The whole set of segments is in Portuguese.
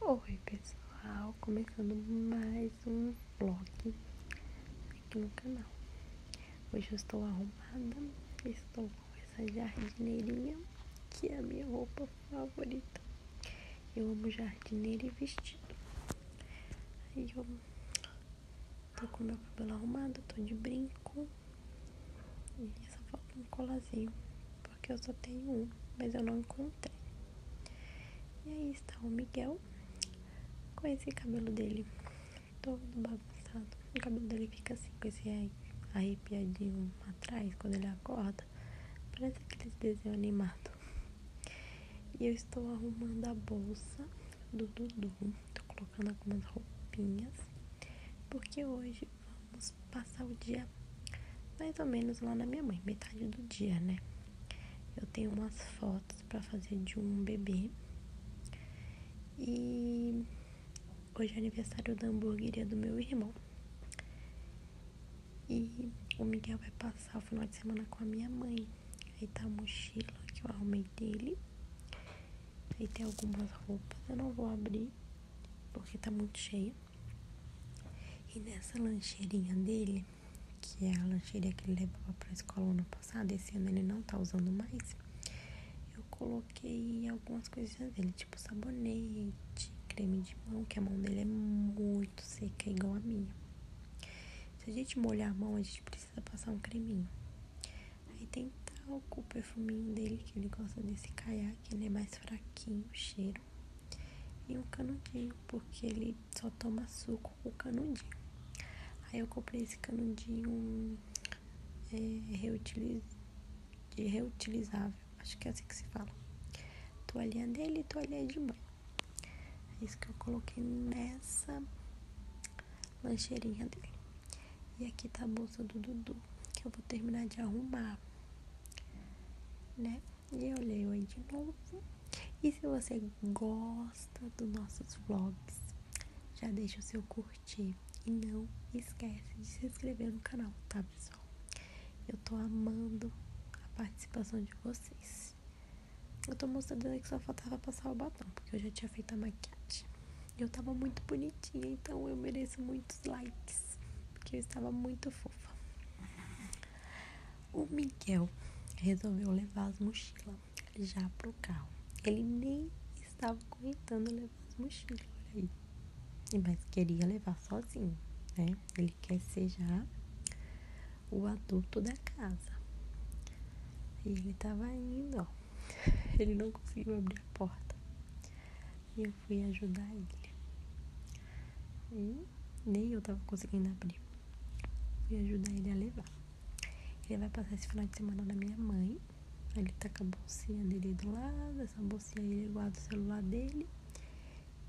Oi pessoal, começando mais um vlog aqui no canal. Hoje eu estou arrumada, estou com essa jardineirinha que é a minha roupa favorita. Eu amo jardineira e vestido. Aí eu tô com meu cabelo arrumado, estou de brinco e só falta é um colazinho porque eu só tenho um, mas eu não encontrei. E aí está o Miguel com esse cabelo dele todo bagunçado. O cabelo dele fica assim, com esse arrepiadinho atrás quando ele acorda. Parece aqueles desenho animado. E eu estou arrumando a bolsa do Dudu. estou colocando algumas roupinhas. Porque hoje vamos passar o dia mais ou menos lá na minha mãe, metade do dia, né? Eu tenho umas fotos para fazer de um bebê. E hoje é aniversário da hamburgueria do meu irmão. E o Miguel vai passar o final de semana com a minha mãe. Aí tá a mochila que eu arrumei dele. Aí tem algumas roupas, eu não vou abrir porque tá muito cheia. E nessa lancheirinha dele, que é a lancheira que ele levava para a escola ano passado, esse ano ele não tá usando mais, eu coloquei algumas coisinhas dele, tipo sabonete, creme de mão, que a mão dele é muito seca, igual a minha. Se a gente molhar a mão, a gente precisa passar um creminho. Aí tem talco, o perfuminho dele, que ele gosta desse caiaque que ele é mais fraquinho o cheiro. E um canudinho, porque ele só toma suco com canudinho. Aí eu comprei esse canudinho é, reutiliz... reutilizável, acho que é assim que se fala. Toalhinha dele e toalhinha de banho. É isso que eu coloquei nessa lancheirinha dele. E aqui tá a bolsa do Dudu, que eu vou terminar de arrumar né? E eu leio aí de novo. E se você gosta dos nossos vlogs, já deixa o seu curtir. E não esquece de se inscrever no canal, tá, pessoal? Eu tô amando a participação de vocês. Eu tô mostrando aí que só faltava passar o batom, porque eu já tinha feito a maquiagem. e Eu tava muito bonitinha, então eu mereço muitos likes porque eu estava muito fofa. O Miguel resolveu levar as mochilas já pro carro. Ele nem estava comentando levar as mochilas, aí. Mas queria levar sozinho, né? Ele quer ser já o adulto da casa. E ele estava indo, Ele não conseguiu abrir a porta. E eu fui ajudar ele. E nem eu tava conseguindo abrir. Fui ajudar ele a levar. Ele vai passar esse final de semana na minha mãe. Ele tá com a bolsinha dele do lado, essa bolsinha ele guarda o celular dele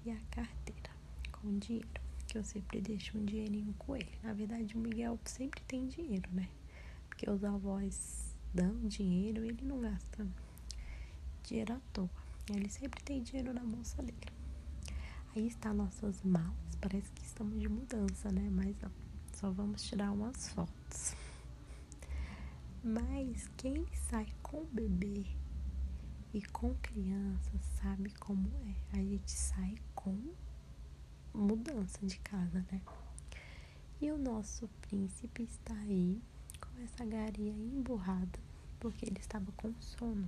e a carteira com dinheiro. Que eu sempre deixo um dinheirinho com ele. Na verdade, o Miguel sempre tem dinheiro, né? Porque os avós dão dinheiro, e ele não gasta né? Dinheiro à toa. Ele sempre tem dinheiro na bolsa dele. Aí está nossas malas. Parece que estamos de mudança, né? Mas não. Só vamos tirar umas fotos. Mas quem sai com bebê e com criança sabe como é. A gente sai com mudança de casa, né? E o nosso príncipe está aí com essa garia emburrada, porque ele estava com sono.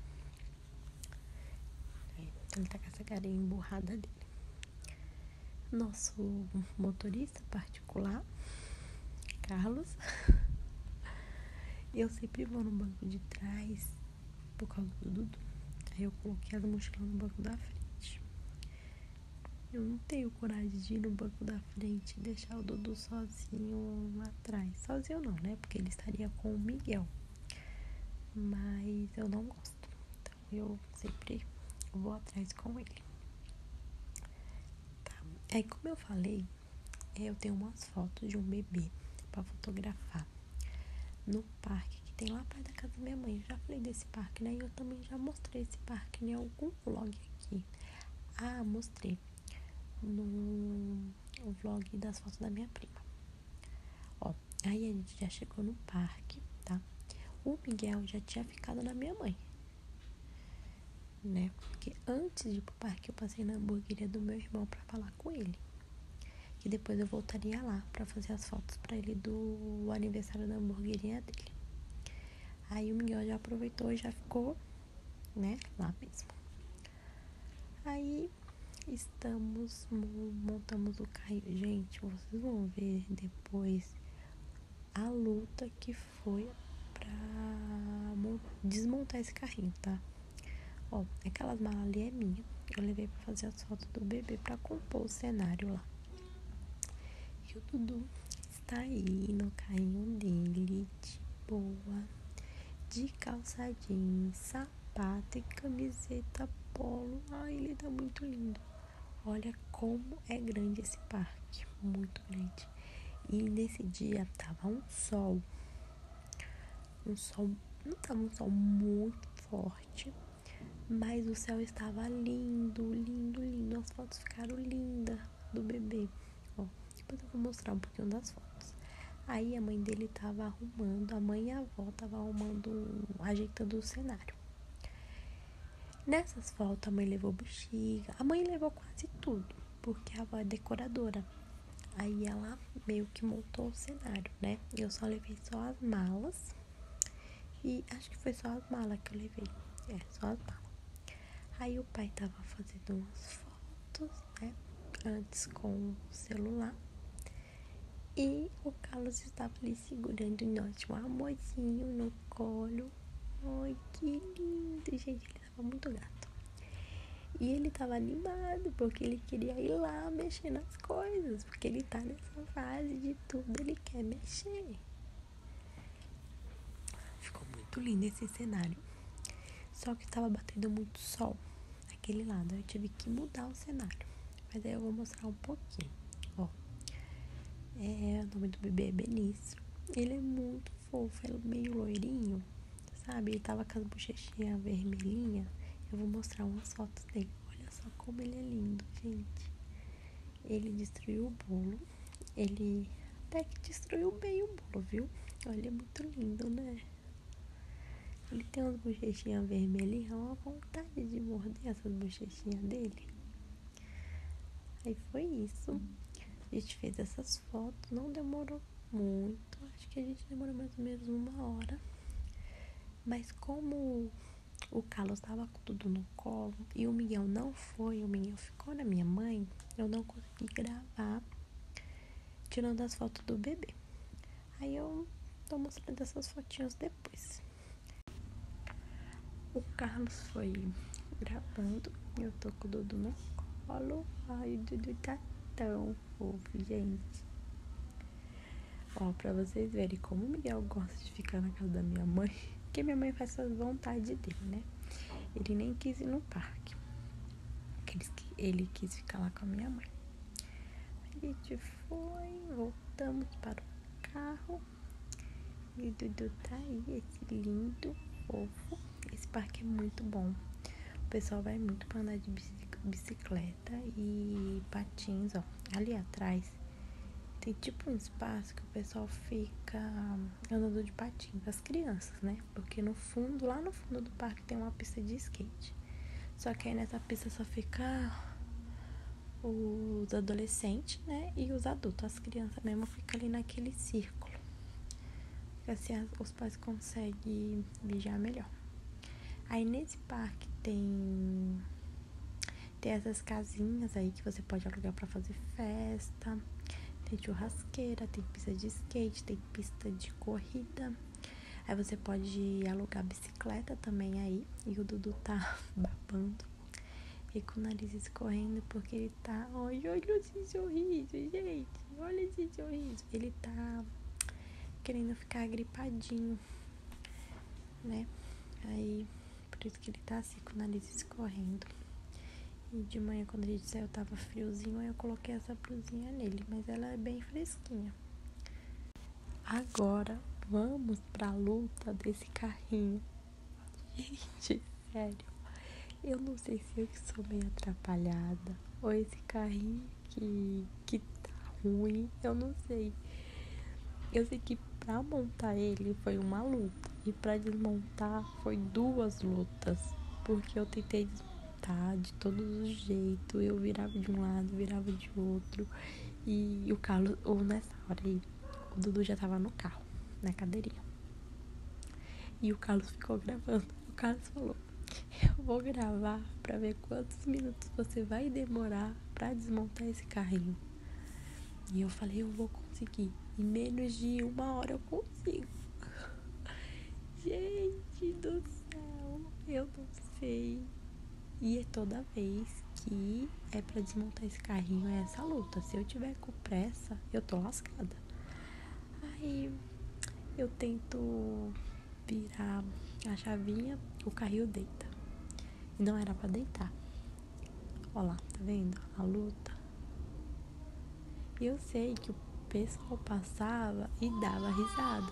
É, então ele tá com essa garia emburrada dele. Nosso motorista particular, Carlos, eu sempre vou no banco de trás por causa do Dudu. Aí eu coloquei as mochilas no banco da frente. Eu não tenho coragem de ir no banco da frente e deixar o Dudu sozinho lá atrás. Sozinho não, né? Porque ele estaria com o Miguel. Mas eu não gosto. Então eu sempre vou atrás com ele. Tá. Aí como eu falei, é, eu tenho umas fotos de um bebê para fotografar no parque que tem lá perto da casa da minha mãe. já falei desse parque, né? E eu também já mostrei esse parque em algum vlog aqui. Ah, mostrei no vlog das fotos da minha prima. Ó, aí a gente já chegou no parque, tá? O Miguel já tinha ficado na minha mãe. Né? Porque antes de ir pro parque eu passei na hamburgueria do meu irmão para falar com ele. E depois eu voltaria lá para fazer as fotos para ele do aniversário da hamburgueria dele. Aí o Miguel já aproveitou e já ficou né? Lá mesmo. Aí estamos, montamos o carrinho. Gente, vocês vão ver depois a luta que foi pra desmontar esse carrinho, tá? Ó, aquelas malas ali é minha. Eu levei pra fazer as fotos do bebê pra compor o cenário lá. E o Dudu, está aí no carrinho dele, de boa, de calçadinho sapato e camiseta polo. Ai, ele tá muito lindo. Olha como é grande esse parque, muito grande. E nesse dia tava um sol, um sol, não tava um sol muito forte, mas o céu estava lindo, lindo, lindo. As fotos ficaram lindas do bebê. Ó, depois eu vou mostrar um pouquinho das fotos. Aí a mãe dele tava arrumando, a mãe e a avó tava arrumando, ajeitando o cenário. Nessas fotos a mãe levou bexiga, a mãe levou quase tudo, porque a avó é decoradora. Aí ela meio que montou o cenário, né? Eu só levei só as malas. E acho que foi só as malas que eu levei. É, só as malas. Aí o pai tava fazendo umas fotos, né? Antes com o celular. E o Carlos estava ali segurando o tipo, note, um amorzinho no colo. Ai, que lindo, gente. Ele tava muito gato. E ele tava animado porque ele queria ir lá mexer nas coisas. Porque ele tá nessa fase de tudo, ele quer mexer. Ficou muito lindo esse cenário. Só que tava batendo muito sol aquele lado. Eu tive que mudar o cenário. Mas aí eu vou mostrar um pouquinho. Ó. É, o nome do bebê é Benício. Ele é muito fofo, ele é meio loirinho, sabe? Ele tava com as bochechinhas vermelhinhas. Eu vou mostrar umas fotos dele. Olha só como ele é lindo, gente. Ele destruiu o bolo ele até que destruiu bem o bolo, viu? Olha, é muito lindo, né? Ele tem umas bochechinhas vermelhinhas, é uma vontade de morder essas bochechinhas dele. Aí foi isso. A gente fez essas fotos, não demorou muito, acho que a gente demorou mais ou menos uma hora. Mas como o Carlos estava com tudo no colo e o Miguel não foi, o Miguel ficou na minha mãe, eu não consegui gravar Tirando as fotos do bebê. Aí eu tô mostrando essas fotinhas depois. O Carlos foi gravando. Eu tô com o Dudu no colo. Ai, o Dudu tá tão fofo, gente. Ó, pra vocês verem como o Miguel gosta de ficar na casa da minha mãe. Porque minha mãe faz as vontades dele, né? Ele nem quis ir no parque. Aqueles que ele quis ficar lá com a minha mãe. A gente foi, voltamos para o carro. E o Dudu tá aí, esse lindo, fofo. Esse parque é muito bom. O pessoal vai muito para andar de bicicleta e patins, ó. Ali atrás tem tipo um espaço que o pessoal fica andando de patins crianças, né? Porque no fundo, lá no fundo do parque tem uma pista de skate. Só que aí nessa pista só fica os adolescentes, né? E os adultos. As crianças mesmo ficam ali naquele círculo. Assim os pais conseguem vigiar melhor. Aí nesse parque tem tem essas casinhas aí que você pode alugar para fazer festa. Tem churrasqueira, tem pista de skate, tem pista de corrida. Aí você pode alugar bicicleta também aí. E o Dudu tá babando. E com o nariz escorrendo porque ele tá. Olha, olha esse sorriso, gente. Olha esse sorriso. Ele tá querendo ficar gripadinho, né? Aí, por isso que ele tá assim com o nariz escorrendo. E de manhã, quando a gente saiu, ah, tava friozinho, aí eu coloquei essa blusinha nele, mas ela é bem fresquinha. Agora, vamos para a luta desse carrinho. Gente, sério. Eu não sei se eu sou meio atrapalhada, ou esse carrinho que, que tá ruim, eu não sei. Eu sei que para montar ele foi uma luta. E para desmontar foi duas lutas, porque eu tentei desmontar de todos os jeitos. Eu virava de um lado, virava de outro. E o Carlos, ou nessa hora aí, o Dudu já tava no carro, na cadeirinha. E o Carlos ficou gravando. O Carlos falou: Eu vou gravar para ver quantos minutos você vai demorar para desmontar esse carrinho. E eu falei: Eu vou conseguir. Em menos de uma hora eu consigo. Gente do céu, eu não sei. E é toda vez que é para desmontar esse carrinho, é essa luta. Se eu tiver com pressa, eu tô lascada. Aí eu tento virar a chavinha, o carrinho deita. E não era para deitar. Olha lá, tá vendo? A luta. E eu sei que o pessoal passava e dava risada.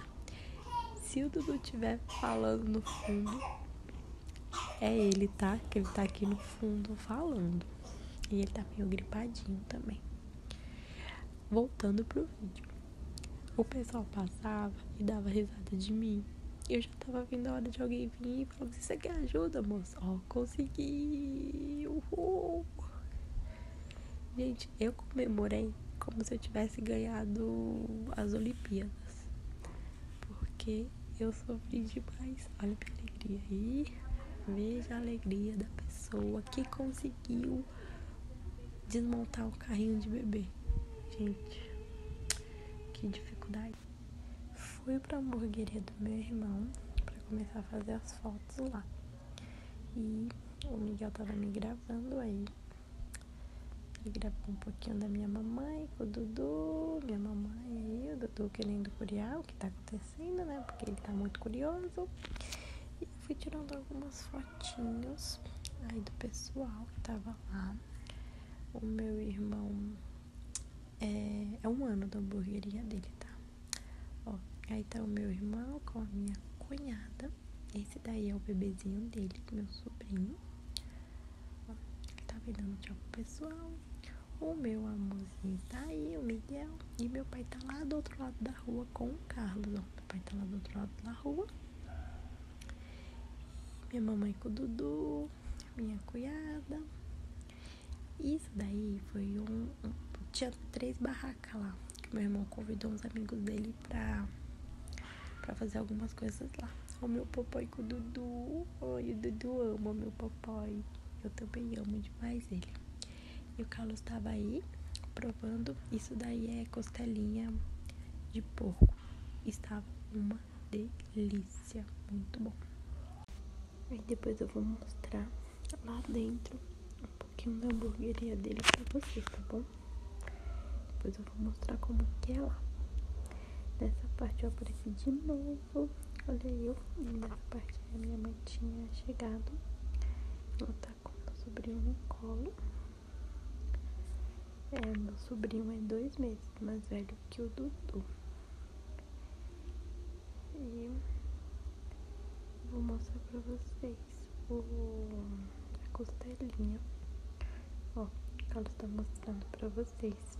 Se o Dudu estiver falando no fundo, é ele, tá? Que ele tá aqui no fundo falando. E ele tá meio gripadinho também. Voltando pro vídeo. O pessoal passava e dava risada de mim. Eu já tava vindo a hora de alguém vir e falar: Você quer ajuda, amor?" conseguiu, Gente, eu comemorei como se eu tivesse ganhado as Olimpíadas. Porque eu sofri demais. Olha que alegria aí. Veja a alegria da pessoa que conseguiu desmontar o carrinho de bebê. Gente, que dificuldade. Fui pra hamburgueria do meu irmão para começar a fazer as fotos lá. E o Miguel tava me gravando aí. Ele gravou um pouquinho da minha mamãe com o Dudu, minha mamãe aí, o Dudu querendo curiar o que tá acontecendo, né? Porque ele tá muito curioso. E fui tirando algumas fotinhos aí do pessoal que tava lá. O meu irmão é, é um ano da hamburgueria dele, tá? Ó, aí tá o meu irmão com a minha cunhada. Esse daí é o bebezinho dele, é meu sobrinho. Ó, tá me dando tchau pro pessoal. O meu amorzinho tá aí, o Miguel. E meu pai tá lá do outro lado da rua com o Carlos. Ó, meu pai tá lá do outro lado da rua. minha mamãe com o Dudu. Minha cunhada. Isso daí foi um, Tinha três barracas lá. Que meu irmão convidou uns amigos dele pra, pra fazer algumas coisas lá. O meu papai com o Dudu. Ai, o Dudu ama meu papai. Eu também amo demais ele. E o Carlos tava aí provando. Isso daí é costelinha de porco. Estava uma delícia. Muito bom. Aí depois eu vou mostrar lá dentro um pouquinho da hamburgueria dele pra vocês, tá bom? Depois eu vou mostrar como que é lá. Nessa parte eu apareci de novo. Olha eu. nessa parte a minha mãe tinha chegado. Ela tá com meu sobrinho no colo. É, meu sobrinho é dois meses mais velho que o Dudu. E vou mostrar pra vocês o, a costelinha. Ó, ela está mostrando pra vocês.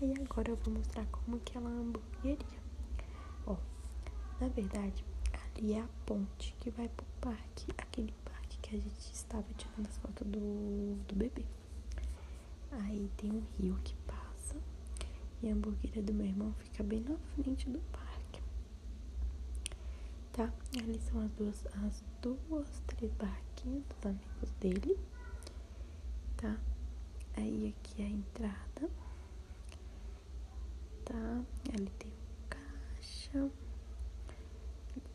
Aí agora eu vou mostrar como que ela é uma hamburgueria. Ó, na verdade, ali é a ponte que vai pro parque, aquele parque que a gente estava tirando as fotos do, do bebê. Aí tem um rio que passa e a hamburgueria do meu irmão fica bem na frente do parque. Tá? Ali são as duas, as duas, três barraquinhas dos amigos dele. Tá? Aí aqui é a entrada. Tá? Ali tem um caixa.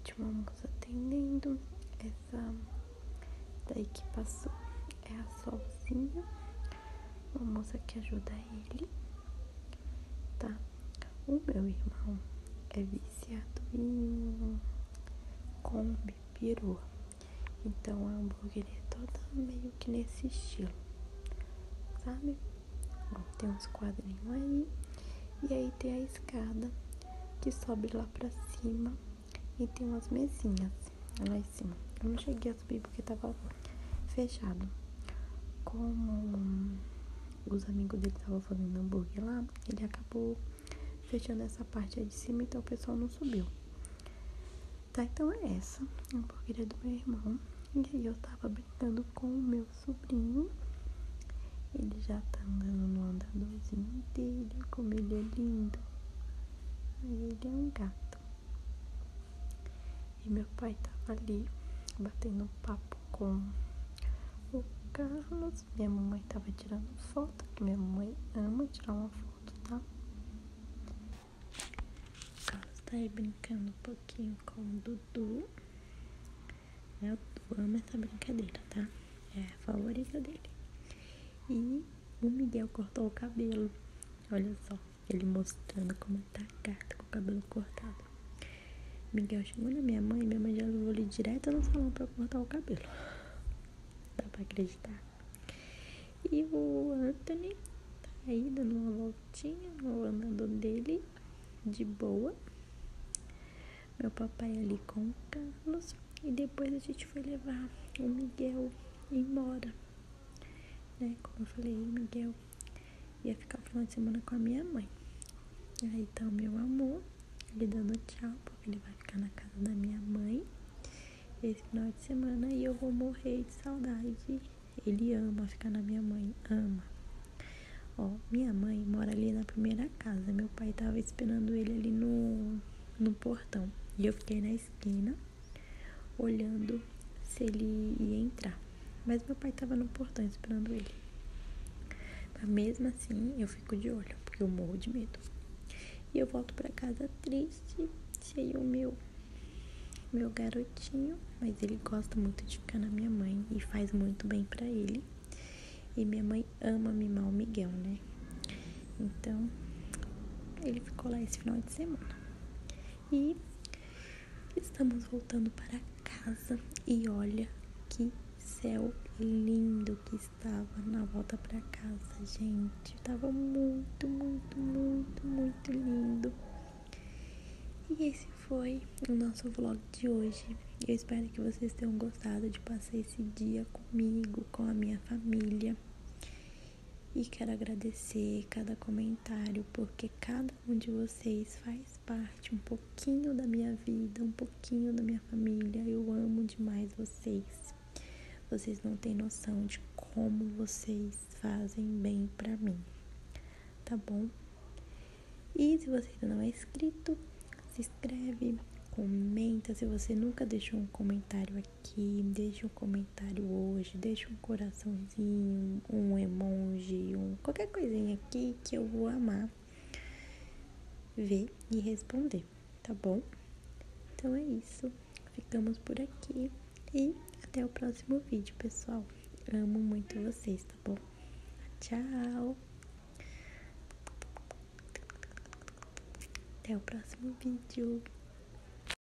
Tinha uma moça atendendo. Essa daí que passou é a Solzinha, uma moça que ajuda ele, tá? O meu irmão é viciado em combi Peru, então a hamburgueria é toda meio que nesse estilo, sabe? tem uns quadrinhos aí, e aí tem a escada que sobe lá pra cima e tem umas mesinhas. Ela em Eu não cheguei a subir porque tava fechado. Como os amigos dele estavam fazendo hambúrguer lá, ele acabou fechando essa parte aí de cima, então o pessoal não subiu. Tá, então é essa a hambúrgueria do meu irmão. E aí eu tava brincando com o meu sobrinho. Ele já tá andando no andadorzinho dele, como ele é lindo. Ele é um gato. E meu pai tava ali batendo papo com o Carlos. Minha mamãe tava tirando foto, que minha mamãe ama tirar uma foto, tá? O Carlos tá aí brincando um pouquinho com o Dudu. Eu é, ama essa brincadeira, tá? É a favorita dele. E o Miguel cortou o cabelo. Olha só. Ele mostrando como tá gata com o cabelo cortado. Miguel chegou na minha mãe, minha mãe já levou ele direto no salão pra cortar o cabelo. Dá pra acreditar. E o Anthony tá aí dando uma voltinha no andando dele, de boa. Meu papai ali com o Carlos. E depois a gente foi levar o Miguel embora né? Como eu falei, Miguel ia ficar o final de semana com a minha mãe. aí tá o meu amor, ele dando tchau, porque ele vai ficar na casa da minha mãe esse final de semana e eu vou morrer de saudade. Ele ama ficar na minha mãe, ama. Ó, minha mãe mora ali na primeira casa. Meu pai tava esperando ele ali no, no portão. E eu fiquei na esquina olhando se ele ia entrar. Mas meu pai estava no portão esperando ele. Mas mesmo assim, eu fico de olho, porque eu morro de medo. E eu volto para casa triste, cheio o meu meu garotinho, mas ele gosta muito de ficar na minha mãe e faz muito bem para ele. E minha mãe ama mimar o Miguel, né? Então, ele ficou lá esse final de semana. E estamos voltando para casa e olha que céu lindo que estava na volta para casa, gente. Tava muito, muito, muito, muito lindo. E esse foi o nosso vlog de hoje. Eu espero que vocês tenham gostado de passar esse dia comigo, com a minha família. E quero agradecer cada comentário comentário, porque cada um de vocês faz parte um pouquinho da minha vida, um pouquinho da minha família. Eu amo demais vocês. Vocês não têm noção de como vocês fazem bem para mim. Tá bom? E se você ainda não é inscrito, se inscreve, comenta. Se você nunca deixou um comentário aqui, aqui, deixe um comentário hoje, deixe um coraçãozinho, um emoji, um qualquer coisinha aqui que eu vou amar ver e responder, tá bom? Então é isso. Ficamos por aqui e até o próximo vídeo, pessoal. Amo muito vocês, tá bom? Tchau. Até o próximo vídeo.